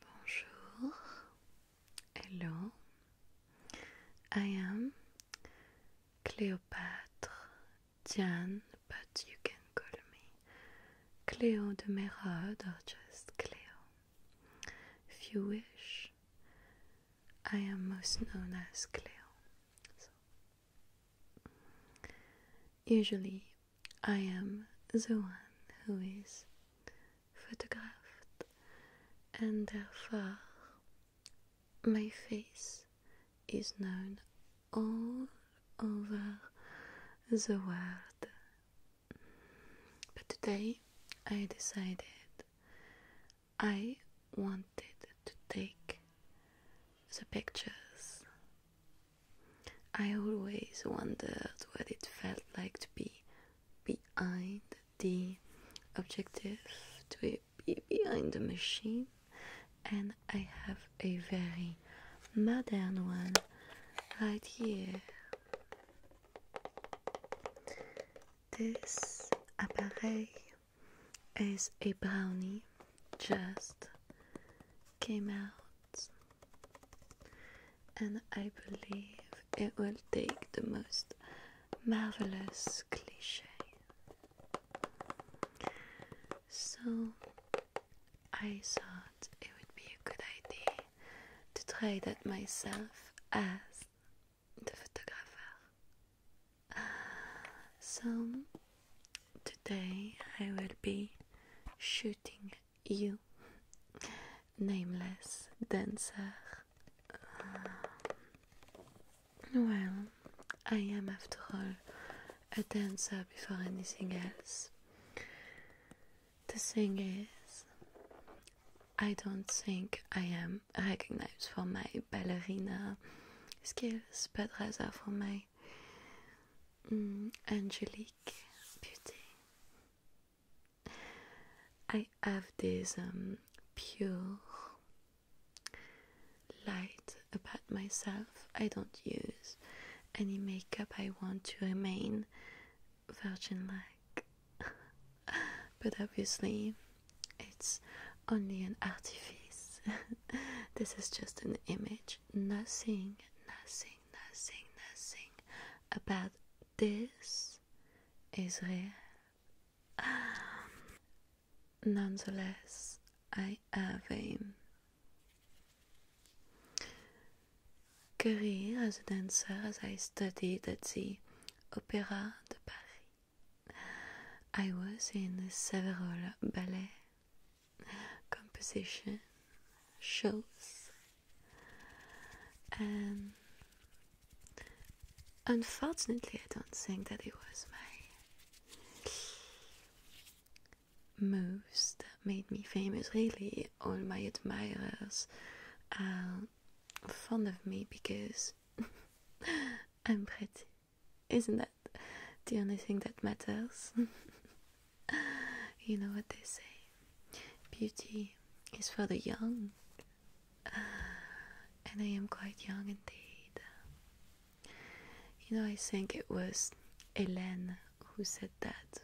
Bonjour, hello, I am Cléopâtre Diane, but you can call me Cléo de Merode or just Cleo. If you wish, I am most known as Cleo. Usually, I am the one who is photographed, and therefore, my face is known all over the world. But today, I decided I wanted to take the pictures I always wondered what it felt like to be behind the objective, to be behind the machine, and I have a very modern one right here. This appareil is a brownie just came out, and I believe it will take the most marvelous cliche. So I thought it would be a good idea to try that myself as the photographer. So, today I will be shooting you, nameless dancer. Um, well, I am, after all, a dancer before anything else. The thing is, I don't think I am recognized for my ballerina skills, but rather for my Mm, Angelic Beauty. I have this um, pure light about myself. I don't use any makeup. I want to remain virgin like. but obviously, it's only an artifice. this is just an image. Nothing, nothing, nothing, nothing about this is real. nonetheless, I have a career as a dancer as I studied at the Opera de Paris. I was in several ballet composition shows and unfortunately I don't think that it was my moves that made me famous really all my admirers are fond of me because I'm pretty isn't that the only thing that matters? you know what they say beauty is for the young, and I am quite young indeed. You know, I think it was Hélène who said that.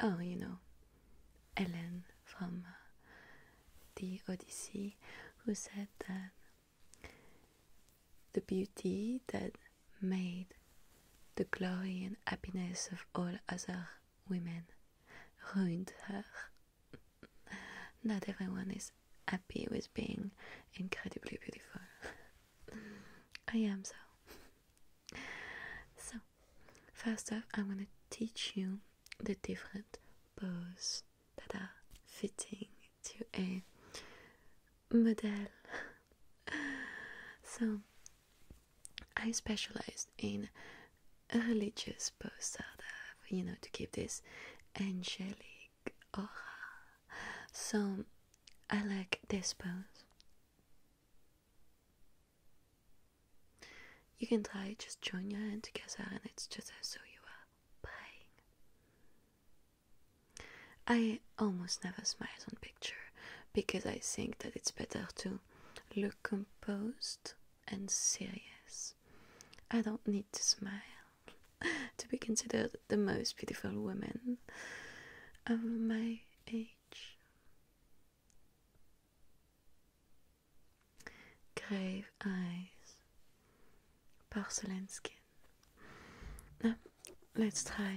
Oh, you know, Hélène from uh, the Odyssey who said that the beauty that made the glory and happiness of all other women ruined her. Not everyone is happy with being incredibly beautiful. I am so. So, first off, I'm gonna teach you the different poses that are fitting to a model. so, I specialized in religious poses that have, you know, to keep this angelic aura. So, I like this pose. You can try, just join your hands together, and it's just as so you are I almost never smile on picture because I think that it's better to look composed and serious. I don't need to smile to be considered the most beautiful woman of my age grave eyes, porcelain skin. let's try.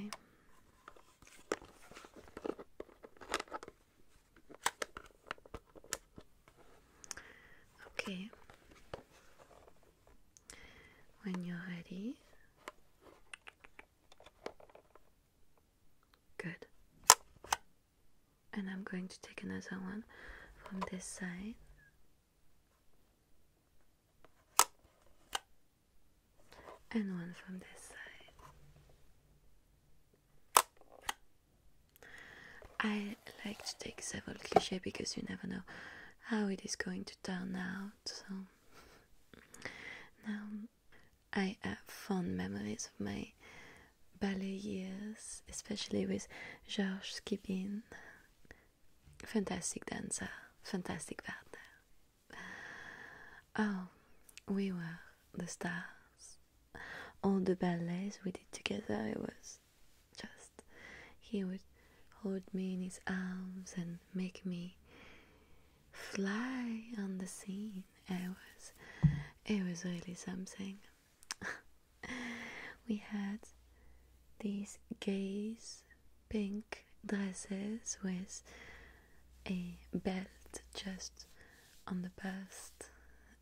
Okay, when you're ready, good and I'm going to take another one from this side. And one from this side. I like to take several cliches because you never know how it is going to turn out. So now I have fond memories of my ballet years, especially with Georges Skibin. Fantastic dancer, fantastic partner. Oh, we were the stars. All the ballets we did together, it was just. He would hold me in his arms and make me fly on the scene. It was, it was really something. we had these gaze pink dresses with a belt just on the bust,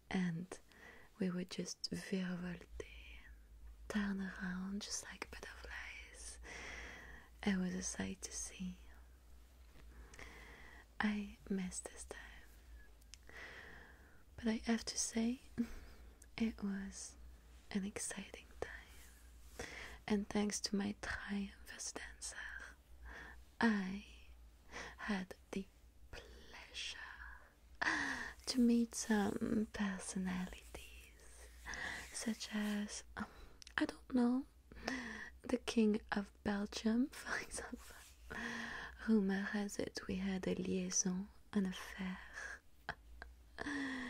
and we would just virevolte and turn around just like butterflies. It was a sight to see. I missed this time. But I have to say, it was an exciting time. And thanks to my triumph as dancer, I had the pleasure to meet some personalities, such as, um, I don't know, the king of Belgium, for example. Rumor has it we had a liaison, an affair.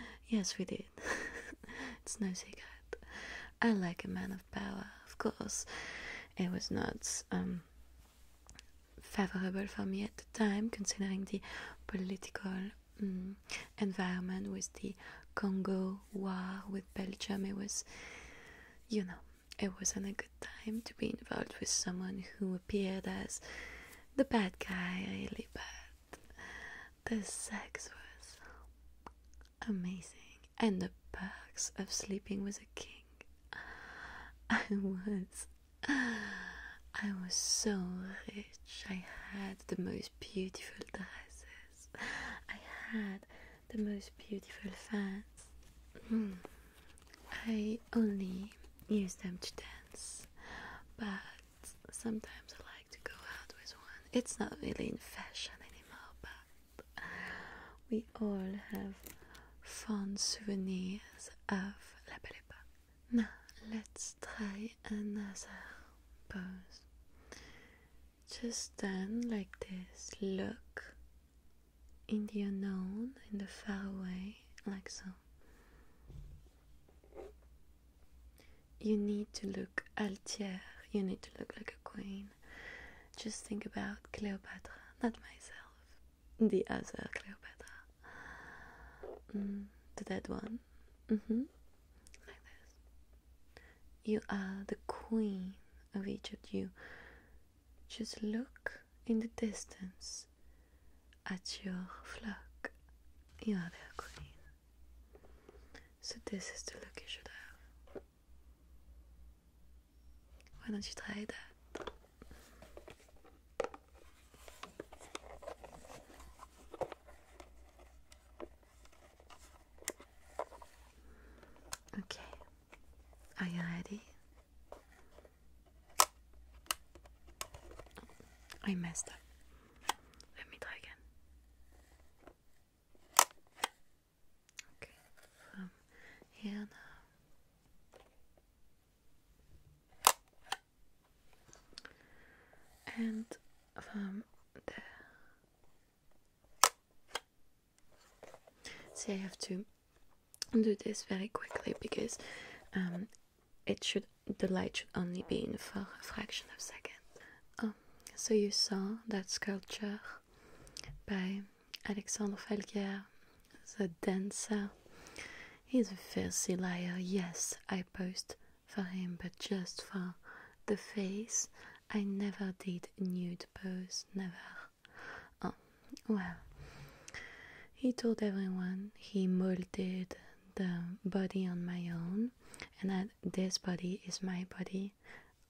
yes, we did. it's no secret. I like a man of power, of course. It was not um, favorable for me at the time, considering the political mm, environment with the Congo war with Belgium. It was, you know, it wasn't a good time to be involved with someone who appeared as the bad guy, really bad. The sex was amazing, and the perks of sleeping with a king. I was. I was so rich. I had the most beautiful dresses. I had the most beautiful fans. Hmm. I only use them to dance, but sometimes I like to go out with one. It's not really in fashion anymore, but we all have fond souvenirs of La Belle Époque. Now, let's try another pose. Just stand like this, look in the unknown, in the far away, like so. You need to look altier. you need to look like a queen. Just think about Cleopatra, not myself, the other Cleopatra, mm, the dead one. Mm-hmm. Like this. You are the queen of each of you. Just look in the distance at your flock. You are their queen. So, this is the look you should have. Why don't you try that? Okay, are you ready? I messed up. Let me try again. Okay, from um, here And from um, there. See, I have to do this very quickly because um, it should the light should only be in for a fraction of a second. Oh, so you saw that sculpture by Alexandre Falguière, the dancer. He's a filthy liar. Yes, I posed for him, but just for the face. I never did nude pose, never. Oh, well, he told everyone he molded the body on my own, and that this body is my body,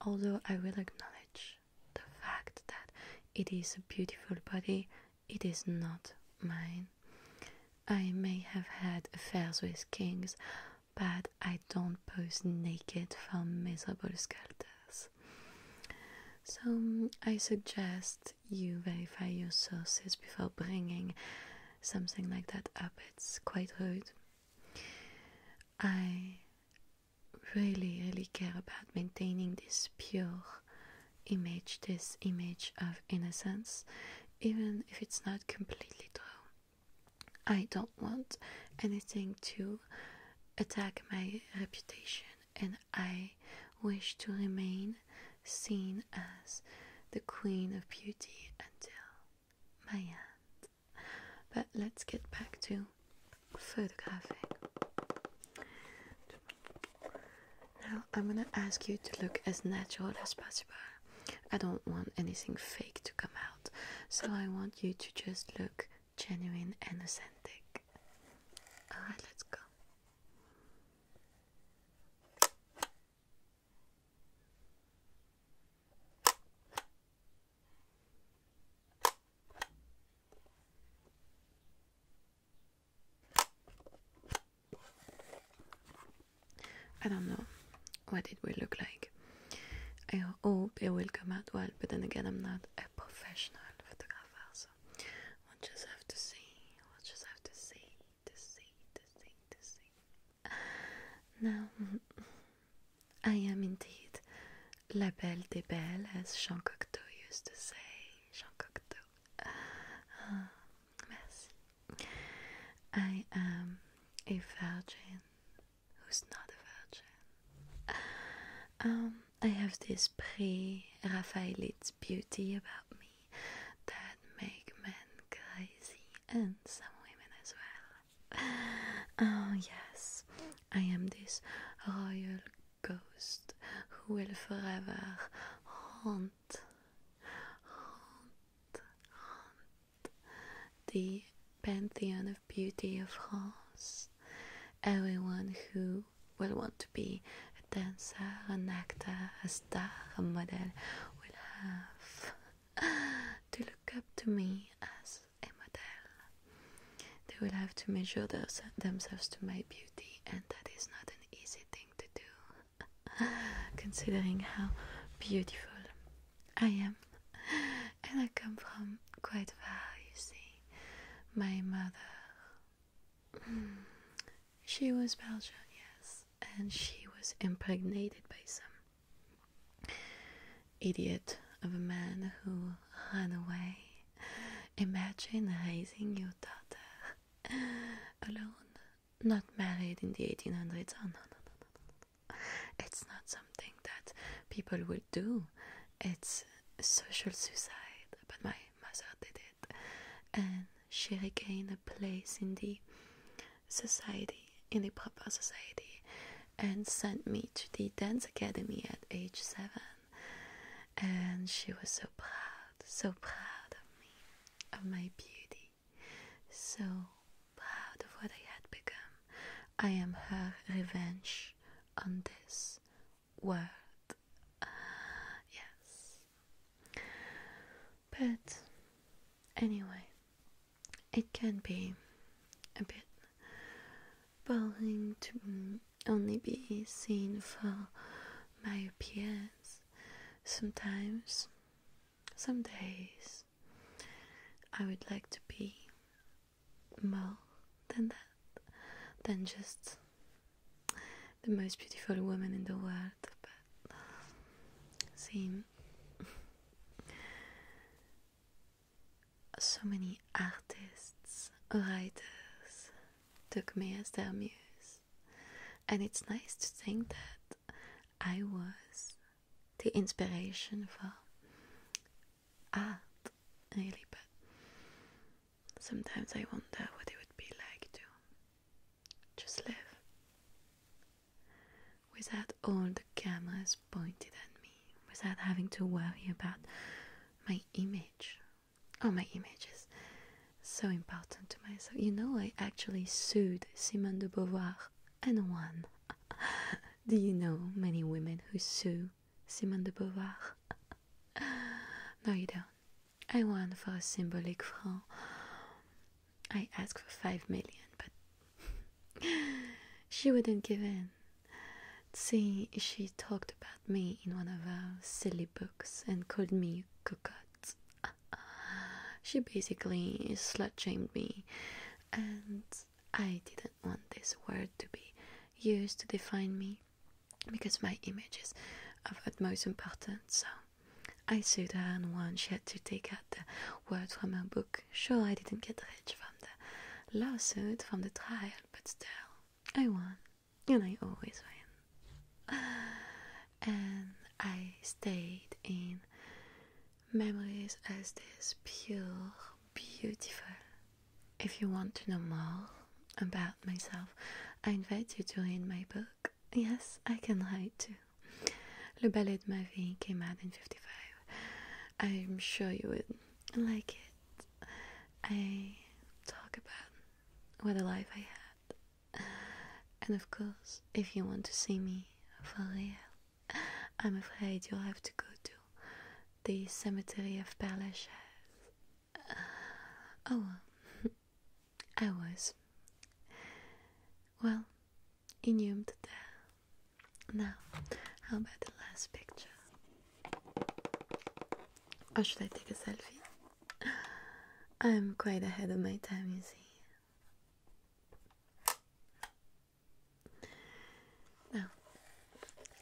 although I will acknowledge the fact that it is a beautiful body, it is not mine. I may have had affairs with kings, but I don't pose naked for miserable sculptors. So um, I suggest you verify your sources before bringing something like that up. It's quite rude. I really, really care about maintaining this pure image, this image of innocence, even if it's not completely true. I don't want anything to attack my reputation, and I wish to remain seen as the queen of beauty until my end. But let's get back to photographing. Now I'm gonna ask you to look as natural as possible. I don't want anything fake to come out, so I want you to just look genuine and authentic. Alright, let's go. I don't know what it will look like. I hope it will come out well, but then again, I'm not a professional photographer, so we'll just have to see. We'll just have to see, to see, to see, to see. Now, I am indeed La Belle des Belles, as Jean Cocteau used to say. Jean Cocteau. Uh, merci. I am a virgin who's not a virgin. Um, I have this pre Raphaelite beauty about me that makes men crazy and some women as well. Oh, yes, I am this royal ghost who will forever haunt, haunt, haunt the pantheon of beauty of France. Everyone who will want to be a dancer, an actor, a star, a model will have to look up to me as a model. They will have to measure themselves to my beauty, and that is not an easy thing to do. considering how beautiful I am. And I come from quite far, you see. My mother. Hmm, she was Belgian, yes, and she was impregnated by some idiot of a man who ran away. Imagine raising your daughter alone not married in the 1800s. no, no, no, no, no. It's not something that people will do. It's social suicide. But my mother did it. And she regained a place in the society, in the proper society, and sent me to the dance academy at age seven. And she was so proud, so proud of me, of my beauty. So proud of what I had become, I am her revenge on this world. yes. But anyway, it can be a bit boring to only be seen for my appearance sometimes some days I would like to be more than that, than just the most beautiful woman in the world, but seeing so many artists, writers took me as their muse. And it's nice to think that I was the inspiration for art, really. But sometimes I wonder what it would be like to just live without all the cameras pointed at me, without having to worry about my image or my images, so important to myself. You know, I actually sued Simone de Beauvoir and won. Do you know many women who sue Simone de Beauvoir? no, you don't. I won for a symbolic franc. I asked for five million, but she wouldn't give in. See, she talked about me in one of her silly books and called me cocotte. Uh, she basically slut shamed me, and I didn't want this word to be used to define me because my image is of utmost importance. So I sued her and won. She had to take out the word from her book. Sure, I didn't get rich from the lawsuit, from the trial, but still, I won and I always win. And I stayed in memories as this pure, beautiful. If you want to know more about myself, I invite you to read my book. Yes, I can write too. Le ballet de ma vie came out in 55. I'm sure you would like it. I talk about what a life I had And of course, if you want to see me for real, I'm afraid you'll have to go to the cemetery of Père Lachaise. Oh, I was, well, inhumed there. Now, how about the last picture? Or oh, should I take a selfie? I'm quite ahead of my time, you see. Now,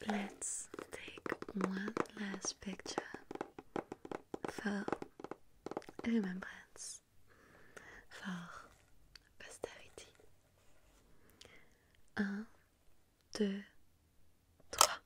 let's take one last picture for remembrance, for posterity. Un,